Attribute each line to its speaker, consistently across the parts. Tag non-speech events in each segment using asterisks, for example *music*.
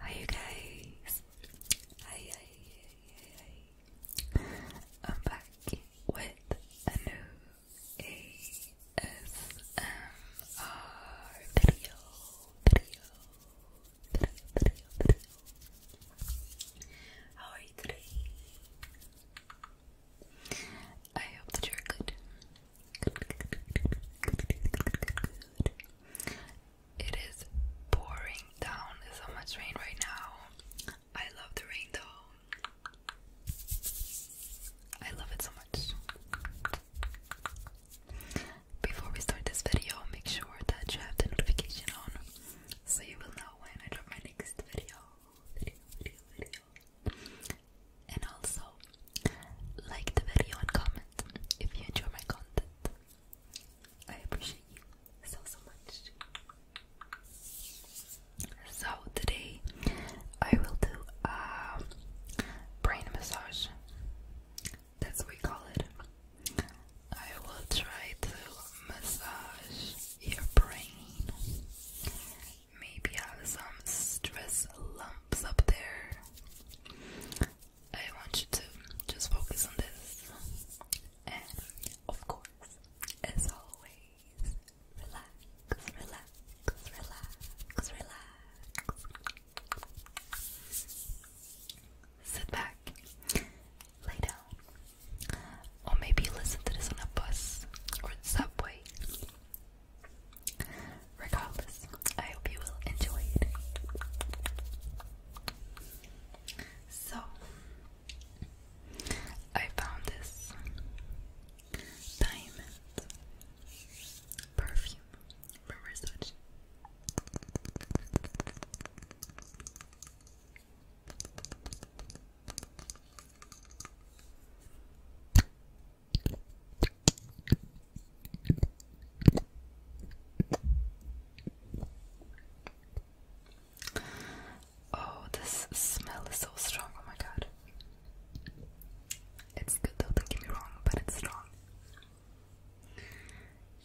Speaker 1: Hi you guys. Hi, I'm back with a new ASMR video, video, video, video, video. How are I hope you're good. It is pouring down so much rain right now. I love the rain I love it so much. Before we start this video, make sure that you have the notification on so you will know when I drop my next video. And also, like the video and comment if you enjoy my content. I appreciate you so so much. So today I will do a brain massage. That's what we call it. I will try to massage your brain. Maybe have some stress lumps up there. I want you to just focus on this. And of course, as always, relax, relax, relax, relax. Sit back, lay down, or maybe listen to this on a bus or subway. Regardless, I hope you will enjoy it. So, I found this diamond perfume from Versace. Oh, this smell is so strong. Oh my god. It's good though, don't get me wrong, but it's strong.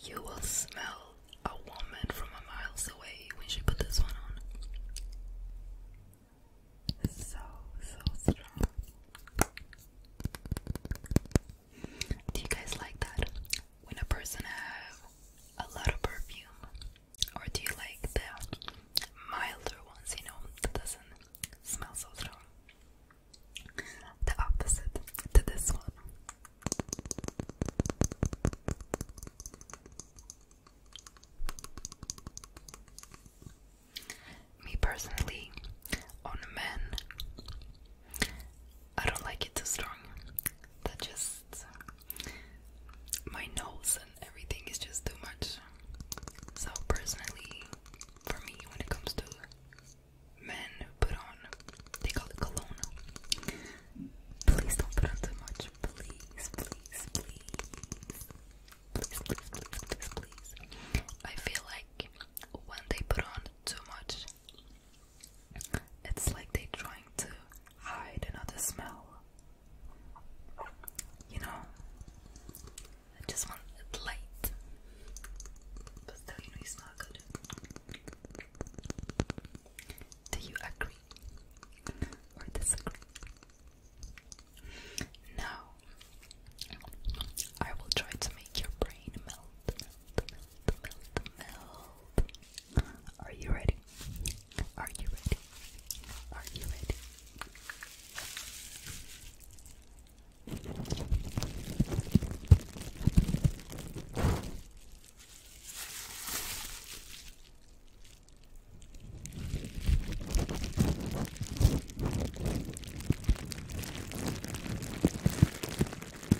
Speaker 1: You will smell a woman from a miles away when she put this one on. so, so strong. Do you guys like that? When a person have a lot of perfume, or do you like the milder ones? You know, that doesn't smell so strong. The opposite to this one. Me personally, on men, I don't like it too strong. That just my nose and everything is just too much. So personally, for me, when it comes to men who put on, they call it cologne. Please don't put on too much. Please, please, please. Please, please, please, please, please. I feel like when they put on too much, it's like they're trying to hide another smell. You know, I just want it light, but still, you know, good. Do you agree or disagree? Now, I will try to make your brain melt, melt, melt, melt. Are you ready? Are you ready? Are you ready?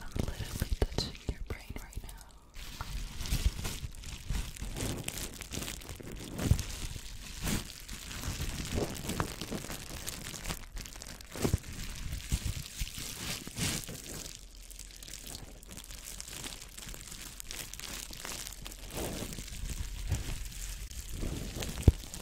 Speaker 1: I'm literally touching your brain right now.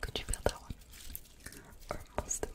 Speaker 1: Could you feel that one? Or most *laughs*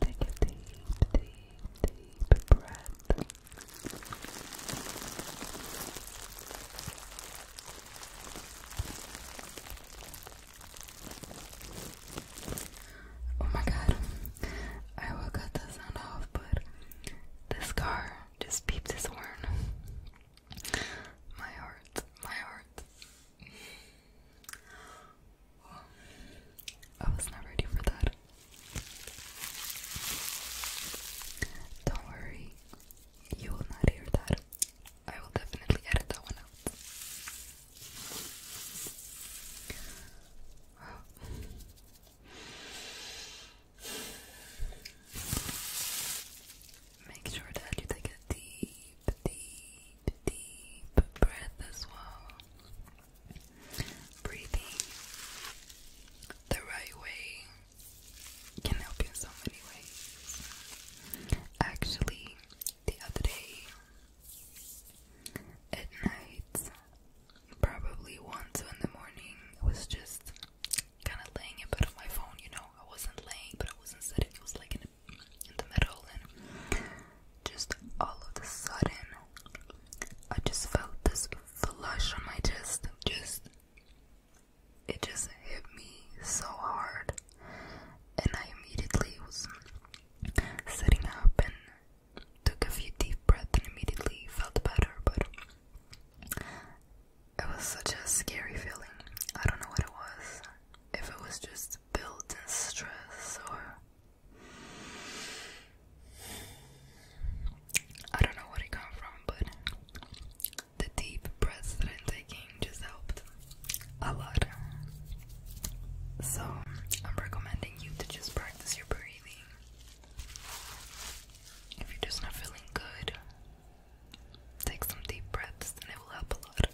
Speaker 1: Take a deep, deep, deep breath. Oh my god, I will cut the sound off, but this car just beeps its horn. My heart, my heart. I was not ready for that. Don't worry, you will not hear that. I will definitely edit that one out. Make sure that you take a deep, deep, deep breath as well. Breathing the right way can help you in so many ways. Actually, the other day at night, probably once in the morning. it was just kind of laying in bed on my phone, you know. I wasn't laying, but I wasn't sitting. It was like in, in the middle, and just all of a sudden, I just felt this flush on my chest. Just it just hit me so hard, and I immediately was sitting up and took a few deep breaths and immediately felt better, but it was such a scary feeling. I don't know what it was. If it was just built in stress or I don't know where it came from, but the deep breaths that I'm taking changes helped a lot. So I'm recommending you to just practice your breathing. If you're just not feeling good, take some deep breaths and it will help a lot.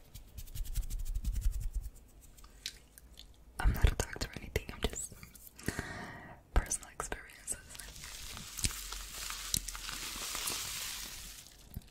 Speaker 1: I'm not a doctor or anything, I'm just personal experiences.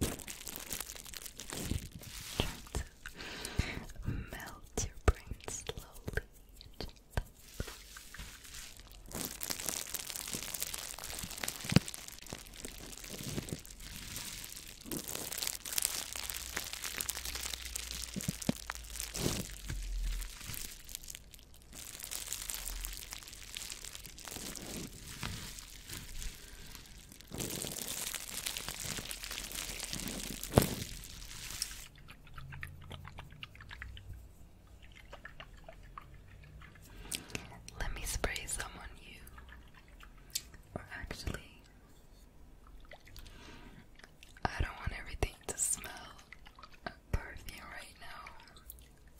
Speaker 1: Try to melt your brain slowly. Let me spray some on you. Or actually, I don't want everything to smell perfume right now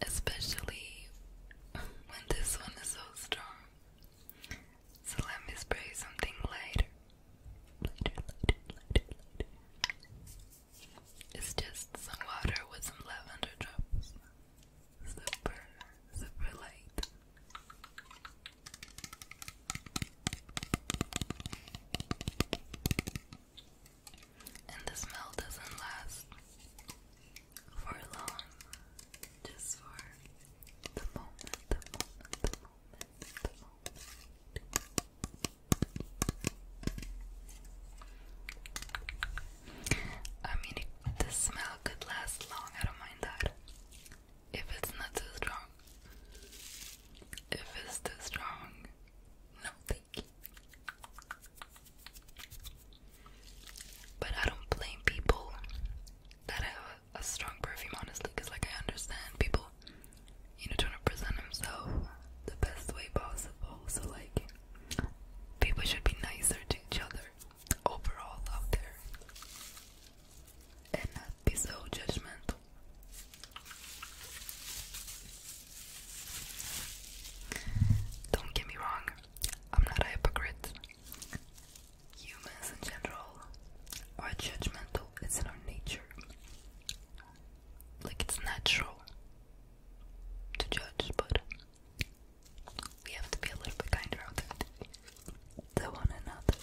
Speaker 1: especially when this one is so strong. So let me spray something lighter. Lighter, lighter, lighter, lighter. It's just some water with some lavender drops. Super, super light. And the smell doesn't last for long, just for the moment, the moment, the moment, the moment. I mean, the smell could last long, I don't mind that. If it's not too strong, if it's too strong, no but I don't blame people that have a, strong perfume, honestly, because like I understand people, you know, trying to present themselves the best way possible. So like, people should be nicer to each other overall out there, and not be so judgmental. Don't get me wrong, I'm not a hypocrite. Humans in general are judgmental, it's in our nature. Like, it's natural to judge, but we have to be a little bit kinder out there to one another.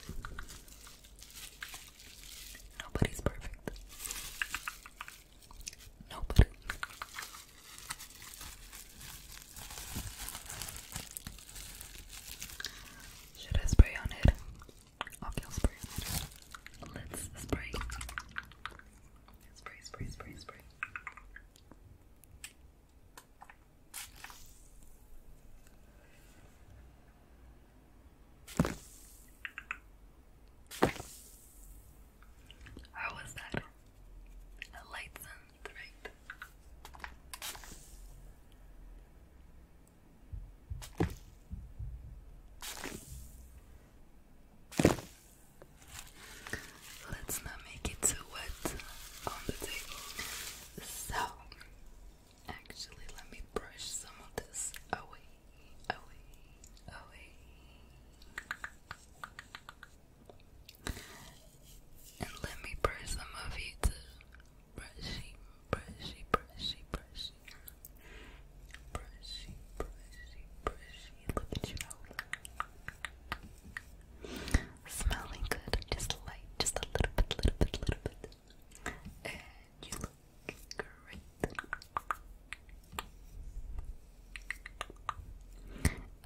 Speaker 1: Nobody's perfect. Nobody. Should I spray on it? I'll spray on Let's spray. Spray, spray, spray, spray. How was that? A light sound, right? Let's not make it too wet on the table. So, actually, let me brush some of this away, away, away. And let me brush some of you too. Brushy, brushy, brushy, brushy. Brushy, brushy, brushy. Smelling good. Just light. Just a little bit, little bit, little bit. And you look great.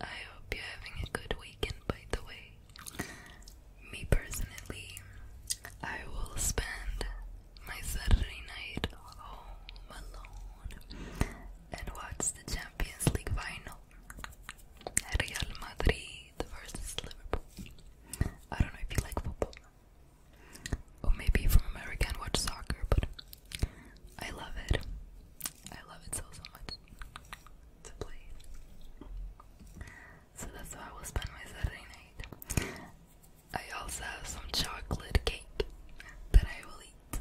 Speaker 1: I hope you're having a good weekend, by the way. Me personally, I will spend my Saturday night home alone and watch the Champions League final. Real Madrid versus Liverpool. I don't know if you like football, or maybe from America and watch soccer, but I love it. I love it so, so much to play. So that's how I will spend my Saturday night. I also have some chocolate cake that I will eat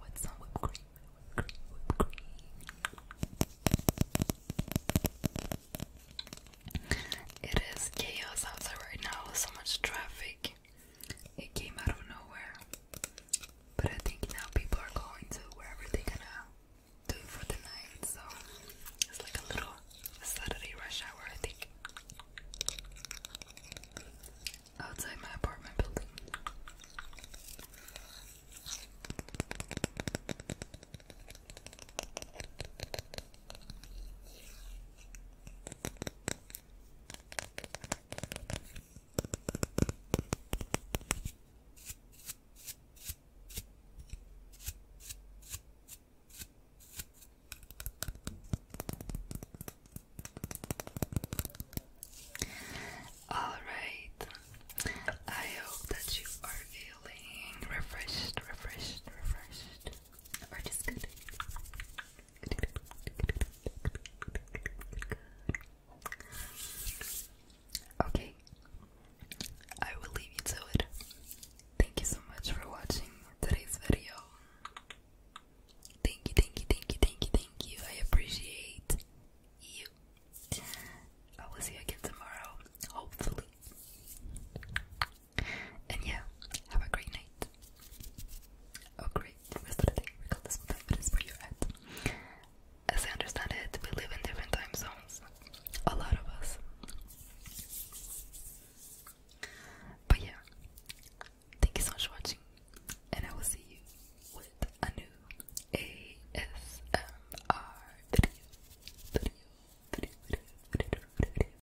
Speaker 1: with some whipped It is chaos outside right now, so much traffic it came out of nowhere. But I think now people are going to wherever they're gonna do for the night, so it's like a little Saturday rush hour, I think. Outside my apartment building. All right. I hope that you are feeling refreshed, refreshed, refreshed, or just good. Okay, I will leave you to it. Thank you so much for watching today's video. Thank you, thank you, thank you, thank you, thank you. I appreciate you. I will see you again tomorrow, hopefully. And yeah, have a great night. Oh great, rest of the day, regardless of time you As I understand it, we live in different time zones. A lot of us. But yeah, thank you so much for watching, and I will see you with a new ASMR video.